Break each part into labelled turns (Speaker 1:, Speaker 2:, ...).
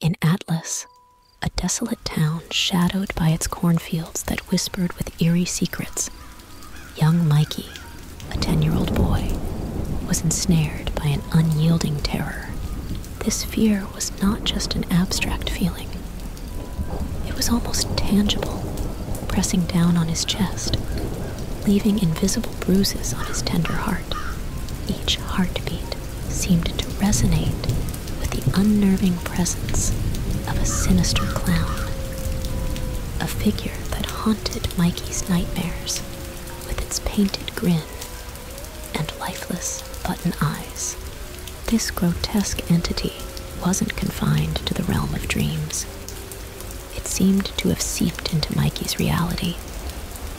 Speaker 1: In Atlas, a desolate town shadowed by its cornfields that whispered with eerie secrets, young Mikey, a 10 year old boy, was ensnared by an unyielding terror. This fear was not just an abstract feeling, it was almost tangible, pressing down on his chest, leaving invisible bruises on his tender heart. Each heartbeat seemed to resonate with the unnerving presence of a sinister clown, a figure that haunted Mikey's nightmares with its painted grin and lifeless button eyes. This grotesque entity wasn't confined to the realm of dreams. It seemed to have seeped into Mikey's reality,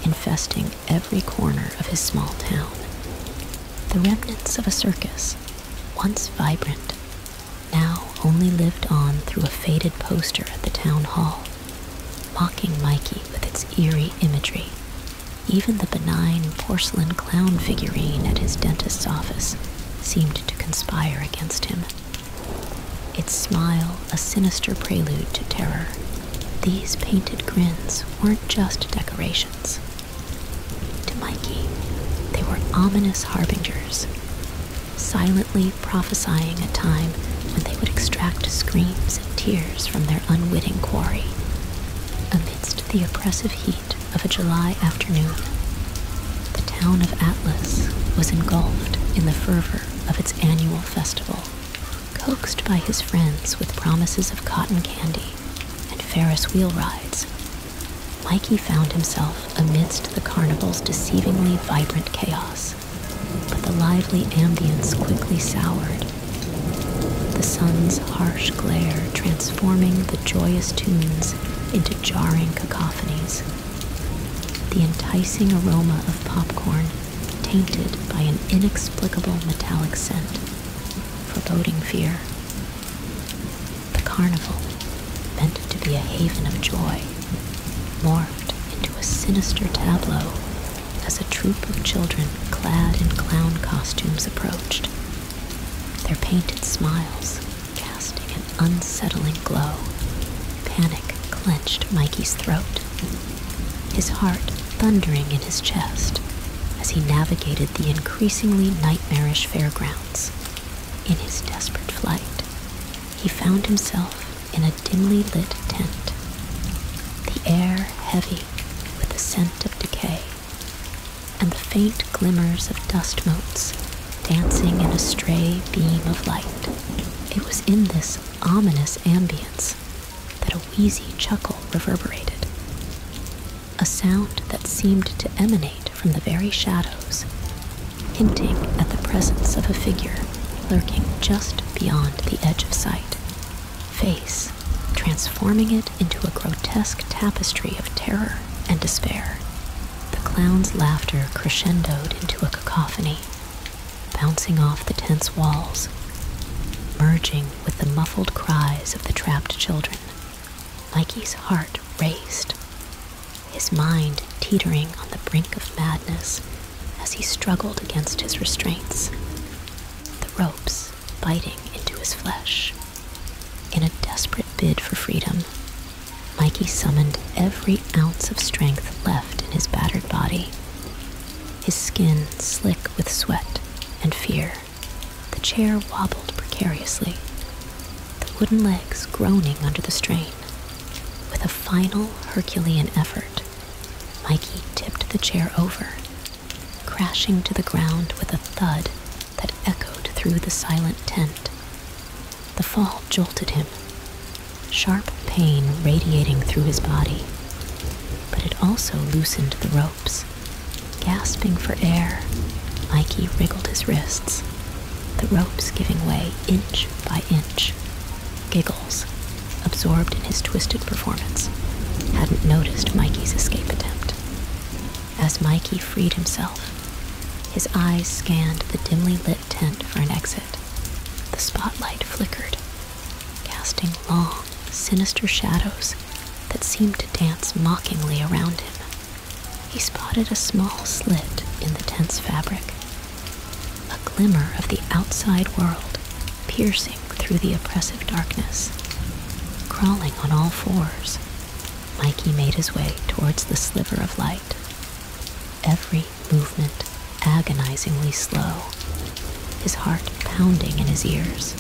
Speaker 1: infesting every corner of his small town. The remnants of a circus, once vibrant, now only lived on through a faded poster at the town hall, Walking Mikey with its eerie imagery. Even the benign porcelain clown figurine at his dentist's office seemed to conspire against him. Its smile a sinister prelude to terror, these painted grins weren't just decorations. To Mikey, they were ominous harbingers, silently prophesying a time when they would extract screams and tears from their unwitting quarry. Amidst the oppressive heat of a July afternoon, the town of Atlas was engulfed in the fervor of its annual festival coaxed by his friends with promises of cotton candy and Ferris wheel rides, Mikey found himself amidst the carnival's deceivingly vibrant chaos. But the lively ambience quickly soured, the sun's harsh glare transforming the joyous tunes into jarring cacophonies. The enticing aroma of popcorn tainted by an inexplicable metallic scent, foreboding fear. The carnival, meant to be a haven of joy, morphed into a sinister tableau as a troop of children clad in clown costumes approached. Their painted smiles casting an unsettling glow. Panic clenched Mikey's throat his heart thundering in his chest as he navigated the increasingly nightmarish fairgrounds. In his desperate flight, he found himself in a dimly lit tent, the air heavy with the scent of decay, and the faint glimmers of dust motes dancing in a stray beam of light. It was in this ominous ambience that a wheezy chuckle reverberated, a sound that seemed to emanate from the very shadows, hinting at the presence of a figure lurking just beyond the edge of sight, face transforming it into a grotesque tapestry of terror and despair. The clown's laughter crescendoed into a cacophony, bouncing off the tense walls, merging with the muffled cries of the trapped children. Mikey's heart raced, his mind teetering on the brink of madness as he struggled against his restraints, the ropes biting into his flesh. In a desperate bid for freedom, Mikey summoned every ounce of strength left in his battered body his skin slick with sweat and fear. The chair wobbled precariously, the wooden legs groaning under the strain. With a final Herculean effort, Mikey tipped the chair over, crashing to the ground with a thud that echoed through the silent tent. The fall jolted him, sharp pain radiating through his body. But it also loosened the ropes. Gasping for air, Mikey wriggled his wrists, the ropes giving way inch by inch. Giggles, absorbed in his twisted performance, hadn't noticed Mikey's escape attempt. As Mikey freed himself, his eyes scanned the dimly lit tent for an exit. The spotlight flickered, casting long, sinister shadows that seemed to dance mockingly around him. He spotted a small slit in the tense fabric, a glimmer of the outside world piercing through the oppressive darkness. Crawling on all fours, Mikey made his way towards the sliver of light. Every movement agonizingly slow, his heart pounding in his ears.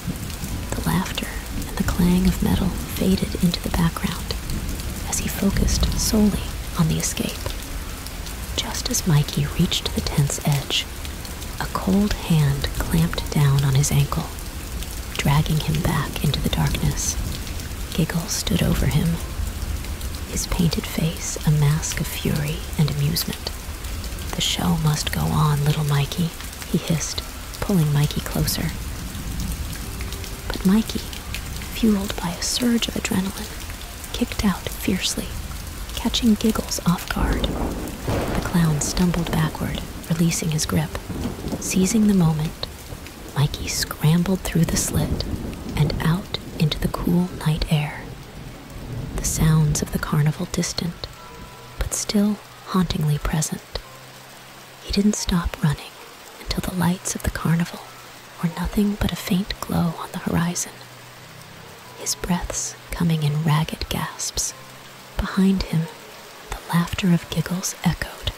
Speaker 1: The laughter and the clang of metal faded into the background as he focused solely on the escape. Just as Mikey reached the tent's edge, a cold hand clamped down on his ankle, dragging him back into the darkness. Giggles stood over him, his painted face a mask of fury and amusement. The show must go on, little Mikey, he hissed, pulling Mikey closer. But Mikey, fueled by a surge of adrenaline, kicked out fiercely, catching Giggles off guard. The clown stumbled backward, releasing his grip. Seizing the moment, Mikey scrambled through the slit and out into the cool night air the sounds of the carnival distant, but still hauntingly present. He didn't stop running until the lights of the carnival were nothing but a faint glow on the horizon, his breaths coming in ragged gasps. Behind him, the laughter of giggles echoed,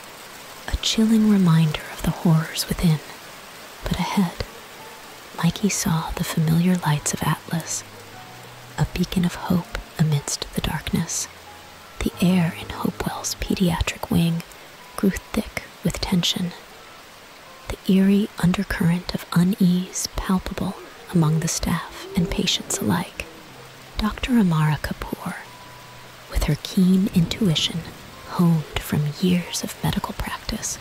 Speaker 1: a chilling reminder of the horrors within. But ahead, Mikey saw the familiar lights of Atlas, a beacon of hope amidst the darkness. The air in Hopewell's pediatric wing grew thick with tension, the eerie undercurrent of unease palpable among the staff and patients alike. Dr. Amara Kapoor, with her keen intuition honed from years of medical practice,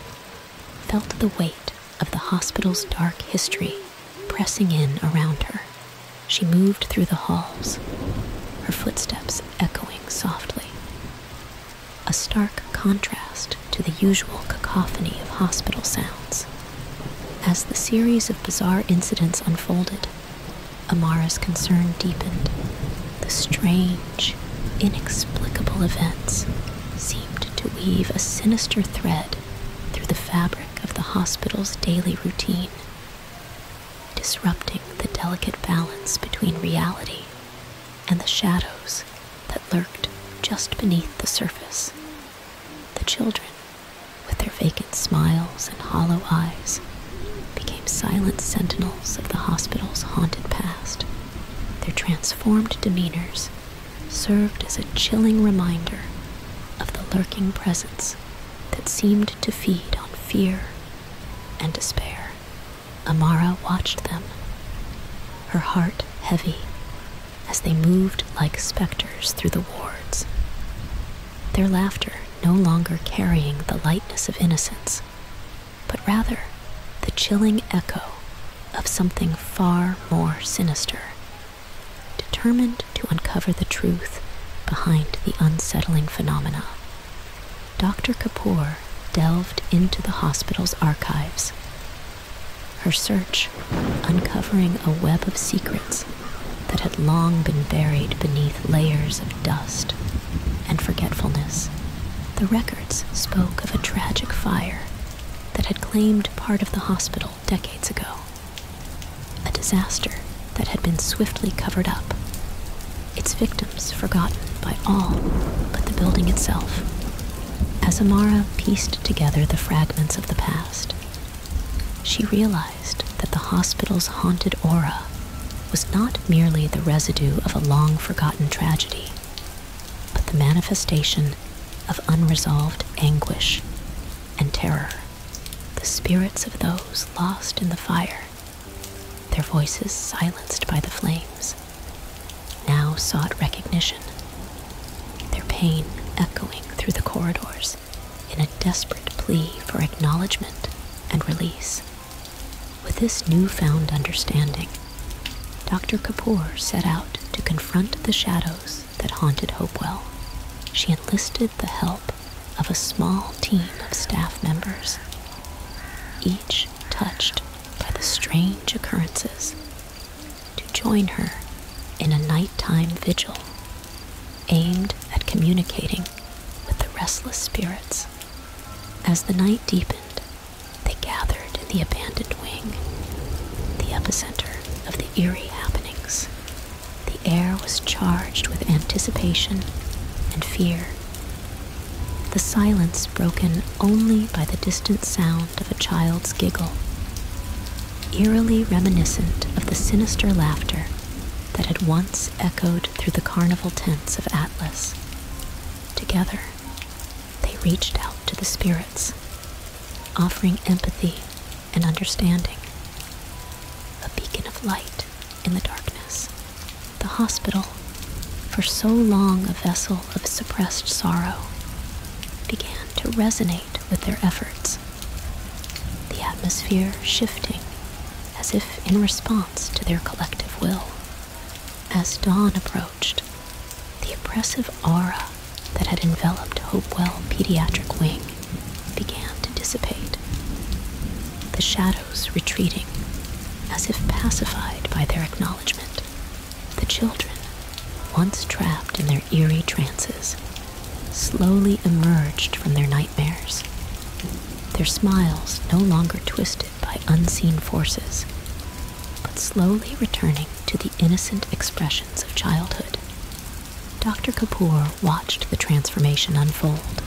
Speaker 1: felt the weight of the hospital's dark history pressing in around her. She moved through the halls, her footsteps echoing softly. A stark contrast to the usual cacophony of hospital sounds. As the series of bizarre incidents unfolded, Amara's concern deepened. The strain inexplicable events seemed to weave a sinister thread through the fabric of the hospital's daily routine, disrupting the delicate balance between reality and the shadows that lurked just beneath the surface. The children, with their vacant smiles and hollow eyes, became silent sentinels of the hospital's haunted past. Their transformed demeanors served as a chilling reminder of the lurking presence that seemed to feed on fear and despair. Amara watched them, her heart heavy, as they moved like specters through the wards. Their laughter no longer carrying the lightness of innocence, but rather the chilling echo of something far more sinister. Determined to uncover the truth behind the unsettling phenomena, Dr. Kapoor delved into the hospital's archives. Her search uncovering a web of secrets that had long been buried beneath layers of dust and forgetfulness. The records spoke of a tragic fire that had claimed part of the hospital decades ago, a disaster that had been swiftly covered up, its victims forgotten by all but the building itself. As Amara pieced together the fragments of the past, she realized that the hospital's haunted aura was not merely the residue of a long forgotten tragedy, but the manifestation of unresolved anguish and terror. The spirits of those lost in the fire, their voices silenced by the flames, now sought recognition, their pain echoing through the corridors in a desperate plea for acknowledgement and release. With this newfound understanding, Dr. Kapoor set out to confront the shadows that haunted Hopewell. She enlisted the help of a small team of staff members, each touched by the strange occurrences, to join her in a nighttime vigil aimed at communicating with the restless spirits. As the night deepened, they gathered in the abandoned wing, the epicenter of the eerie happenings. The air was charged with anticipation and fear. The silence broken only by the distant sound of a child's giggle, eerily reminiscent of the sinister laughter that had once echoed through the carnival tents of Atlas. Together, they reached out to the spirits, offering empathy and understanding. A beacon of light in the darkness. The hospital, for so long a vessel of suppressed sorrow, began to resonate with their efforts, the atmosphere shifting as if in response to their collective will. As dawn approached, the oppressive aura that had enveloped Hopewell Pediatric Wing began to dissipate, the shadows retreating as if pacified by their acknowledgement. The children, once trapped in their eerie trances, slowly emerged from their nightmares. Their smiles no longer twisted by unseen forces, but slowly returning to the innocent expressions of childhood. Dr. Kapoor watched the transformation unfold,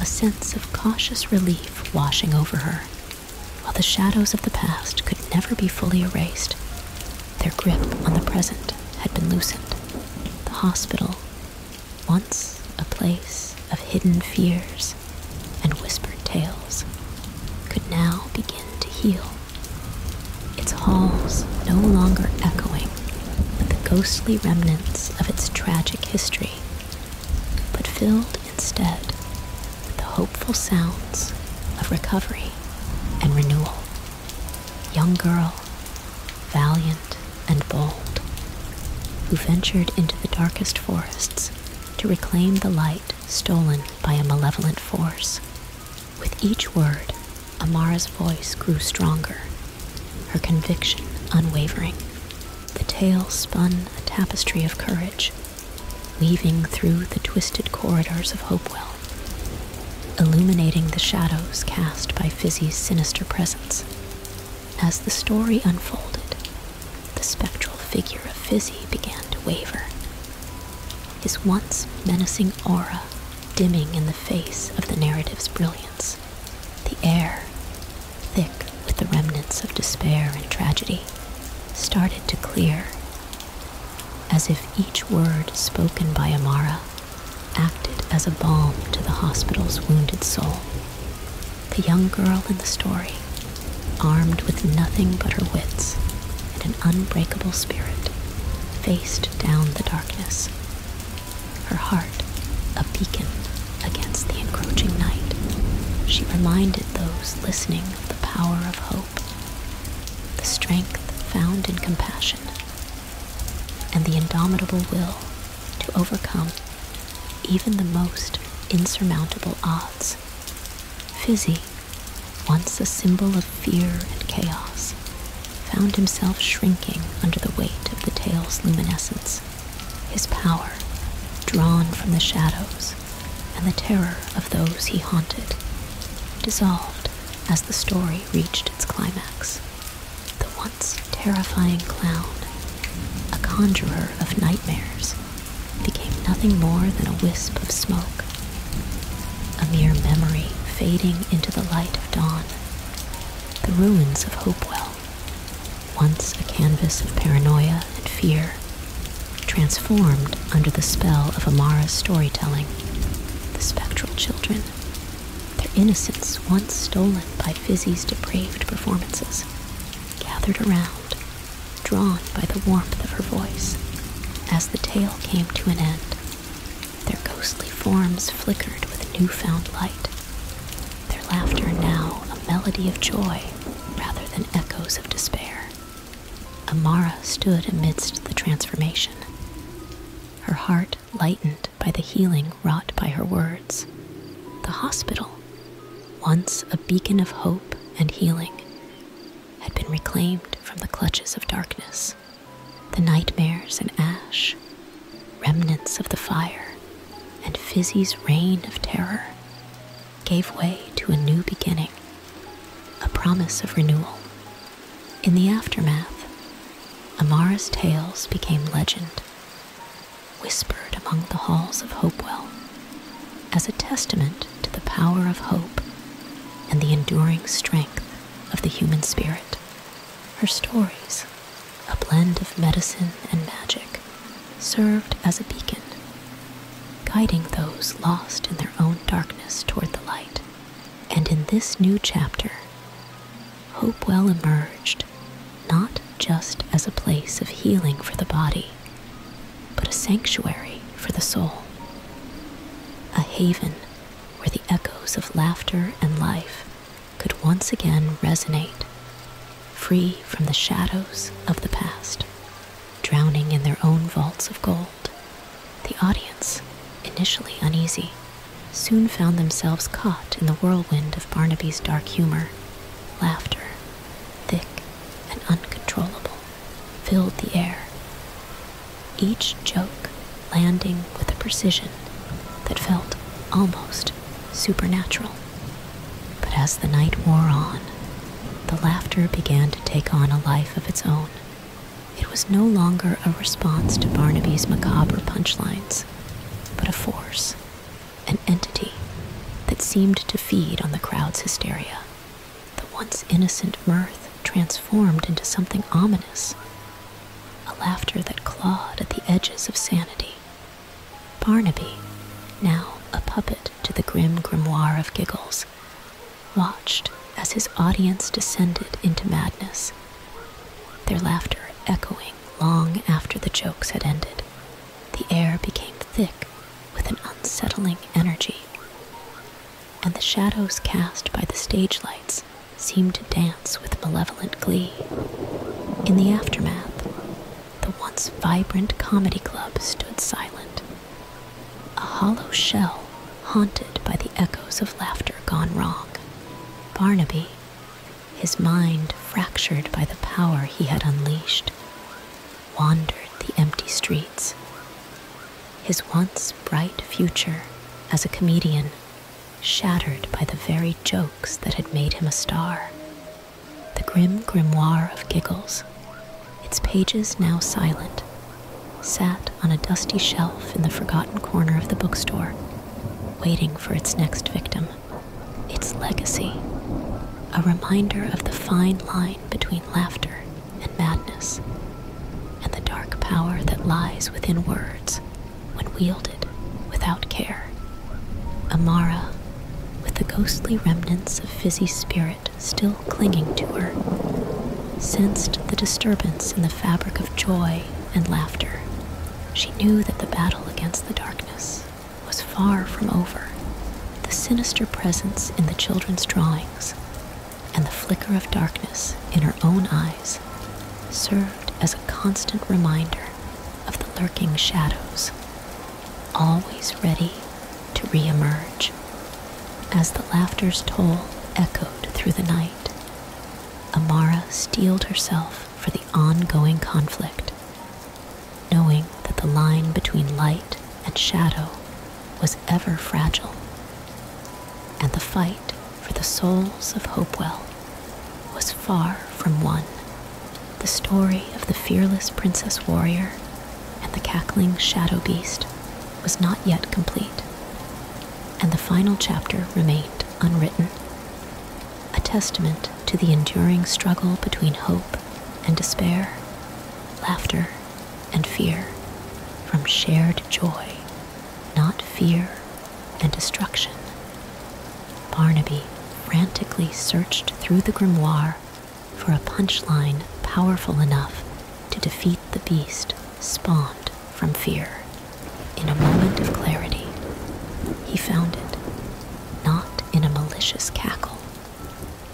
Speaker 1: a sense of cautious relief washing over her. While the shadows of the past could never be fully erased, their grip on the present had been loosened. The hospital, once a place of hidden fears, and whispered tales could now begin to heal, its halls no longer echoing with the ghostly remnants of its tragic history, but filled instead with the hopeful sounds of recovery and renewal. Young girl, valiant and bold, who ventured into the darkest forests to reclaim the light stolen by a malevolent force. With each word, Amara's voice grew stronger, her conviction unwavering. The tale spun a tapestry of courage, weaving through the twisted corridors of Hopewell, illuminating the shadows cast by Fizzy's sinister presence. As the story unfolded, the spectral figure of Fizzy began to waver, his once menacing aura dimming in the face of the narrative's brilliance, the air, thick with the remnants of despair and tragedy, started to clear, as if each word spoken by Amara acted as a balm to the hospital's wounded soul. The young girl in the story, armed with nothing but her wits and an unbreakable spirit, faced down the darkness, her heart a beacon against the encroaching night. She reminded those listening of the power of hope, the strength found in compassion, and the indomitable will to overcome even the most insurmountable odds. Fizzy, once a symbol of fear and chaos, found himself shrinking under the weight of the tale's luminescence. His power, drawn from the shadows and the terror of those he haunted, dissolved as the story reached its climax. The once terrifying clown a conjurer of nightmares, became nothing more than a wisp of smoke, a mere memory fading into the light of dawn. The ruins of Hopewell, once a canvas of paranoia and fear, transformed under the spell of Amara's storytelling, the spectral children, their innocence once stolen by Fizzy's depraved performances, gathered around drawn by the warmth of her voice. As the tale came to an end, their ghostly forms flickered with newfound light, their laughter now a melody of joy rather than echoes of despair. Amara stood amidst the transformation, her heart lightened by the healing wrought by her words. The hospital once a beacon of hope and healing, had been reclaimed from the clutches of darkness. The nightmares and ash, remnants of the fire, and Fizzy's reign of terror gave way to a new beginning, a promise of renewal. In the aftermath, Amara's tales became legend, whispered among the halls of Hopewell as a testament to the power of hope and the enduring strength of the human spirit. Her stories, a blend of medicine and magic, served as a beacon, guiding those lost in their own darkness toward the light. And in this new chapter, Hopewell emerged not just as a place of healing for the body, but a sanctuary for the soul, a haven where the echoes of laughter and life could once again resonate, free from the shadows of the past, drowning in their own vaults of gold. The audience, initially uneasy, soon found themselves caught in the whirlwind of Barnaby's dark humor Laughter, thick and uncontrollable, filled the air, each joke landing with a precision that felt almost supernatural. But as the night wore on, the laughter began to take on a life of its own. It was no longer a response to Barnaby's macabre punchlines, but a force an entity that seemed to feed on the crowd's hysteria. The once innocent mirth transformed into something ominous, a laughter that clawed at the edges of sanity. Barnaby, now a puppet to the grim grimoire of giggles, watched as his audience descended into madness, their laughter echoing long after the jokes had ended. The air became thick with an unsettling energy, and the shadows cast by the stage lights seemed to dance with malevolent glee. In the aftermath, the once vibrant comedy club stood silent, a hollow shell haunted by the echoes of laughter gone wrong. Barnaby, his mind fractured by the power he had unleashed, wandered the empty streets. His once bright future as a comedian shattered by the very jokes that had made him a star. The grim grimoire of giggles, its pages now silent, sat on a dusty shelf in the forgotten corner of the bookstore, waiting for its next victim its legacy, a reminder of the fine line between laughter and madness, and the dark power that lies within words when wielded without care. Amara, with the ghostly remnants of Fizzy's spirit still clinging to her, sensed the disturbance in the fabric of joy and laughter. She knew that the battle against the darkness was far from over. The sinister presence in the children's drawings and the flicker of darkness in her own eyes served as a constant reminder of the lurking shadows, always ready to reemerge. As the laughter's toll echoed through the night, Amara steeled herself for the ongoing conflict, knowing that the line between light and shadow was ever fragile, and the fight for the souls of Hopewell was far from won. The story of the fearless princess warrior and the cackling shadow beast was not yet complete, and the final chapter remained unwritten a testament to the enduring struggle between hope and despair, laughter and fear, from shared joy, not fear and destruction. Barnaby frantically searched through the grimoire for a punchline powerful enough to defeat the beast spawned from fear. In a moment of clarity, he found it not in a malicious cackle,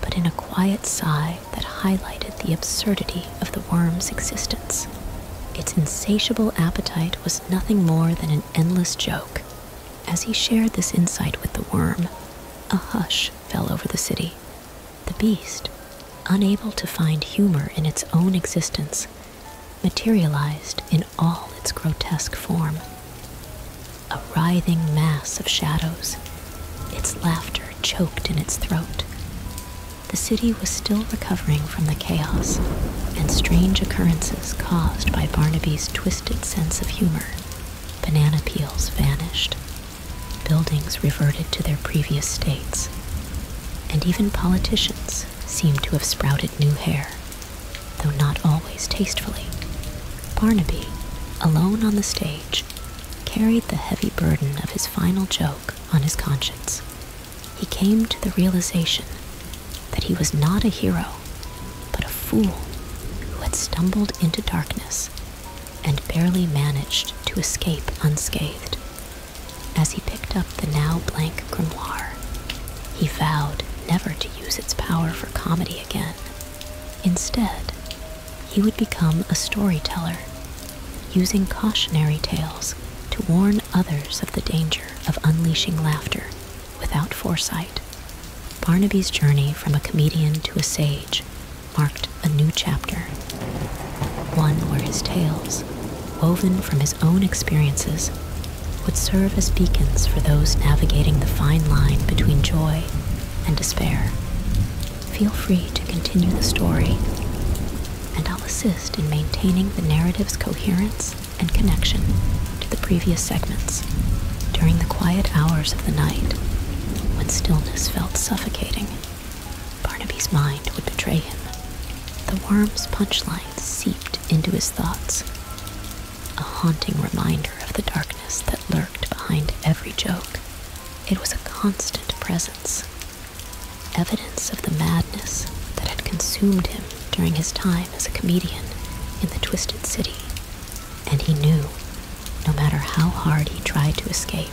Speaker 1: but in a quiet sigh that highlighted the absurdity of the worm's existence. Its insatiable appetite was nothing more than an endless joke. As he shared this insight with the worm, a hush fell over the city. The beast, unable to find humor in its own existence, materialized in all its grotesque form. A writhing mass of shadows, its laughter choked in its throat. The city was still recovering from the chaos and strange occurrences caused by Barnaby's twisted sense of humor. Banana peels vanished, buildings reverted to their previous states, and even politicians seemed to have sprouted new hair though not always tastefully. Barnaby, alone on the stage, carried the heavy burden of his final joke on his conscience. He came to the realization that he was not a hero, but a fool who had stumbled into darkness and barely managed to escape unscathed. As he picked up the now blank grimoire. He vowed never to use its power for comedy again. Instead, he would become a storyteller, using cautionary tales to warn others of the danger of unleashing laughter without foresight. Barnaby's journey from a comedian to a sage marked a new chapter, one where his tales woven from his own experiences, would serve as beacons for those navigating the fine line between joy and despair. Feel free to continue the story, and I'll assist in maintaining the narrative's coherence and connection to the previous segments during the quiet hours of the night when stillness felt suffocating. Barnaby's mind would betray him. The worm's punchlines seeped into his thoughts a haunting reminder of the darkness that lurked behind every joke. It was a constant presence, evidence of the madness that had consumed him during his time as a comedian in the Twisted City. And he knew, no matter how hard he tried to escape,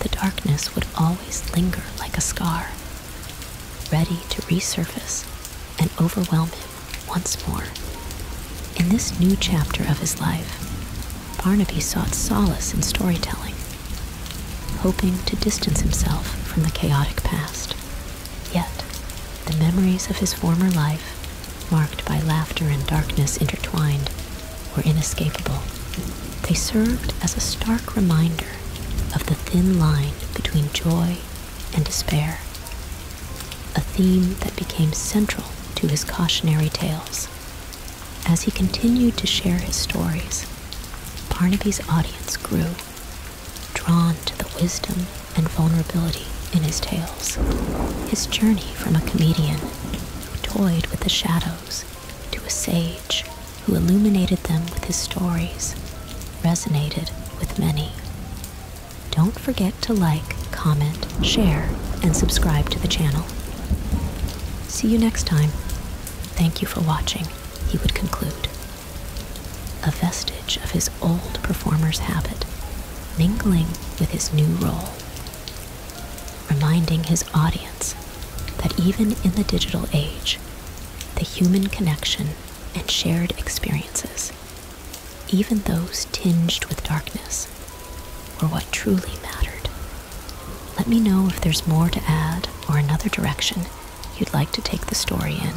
Speaker 1: the darkness would always linger like a scar, ready to resurface and overwhelm him once more. In this new chapter of his life, Barnaby sought solace in storytelling, hoping to distance himself from the chaotic past. Yet, the memories of his former life, marked by laughter and darkness intertwined, were inescapable. They served as a stark reminder of the thin line between joy and despair, a theme that became central to his cautionary tales. As he continued to share his stories, Barnaby's audience grew, drawn to the wisdom and vulnerability in his tales. His journey from a comedian who toyed with the shadows to a sage who illuminated them with his stories, resonated with many. Don't forget to like, comment, share, and subscribe to the channel. See you next time. Thank you for watching, he would conclude. A vestige of his old performer's habit, mingling with his new role, reminding his audience that even in the digital age, the human connection and shared experiences, even those tinged with darkness, were what truly mattered. Let me know if there's more to add or another direction you'd like to take the story in.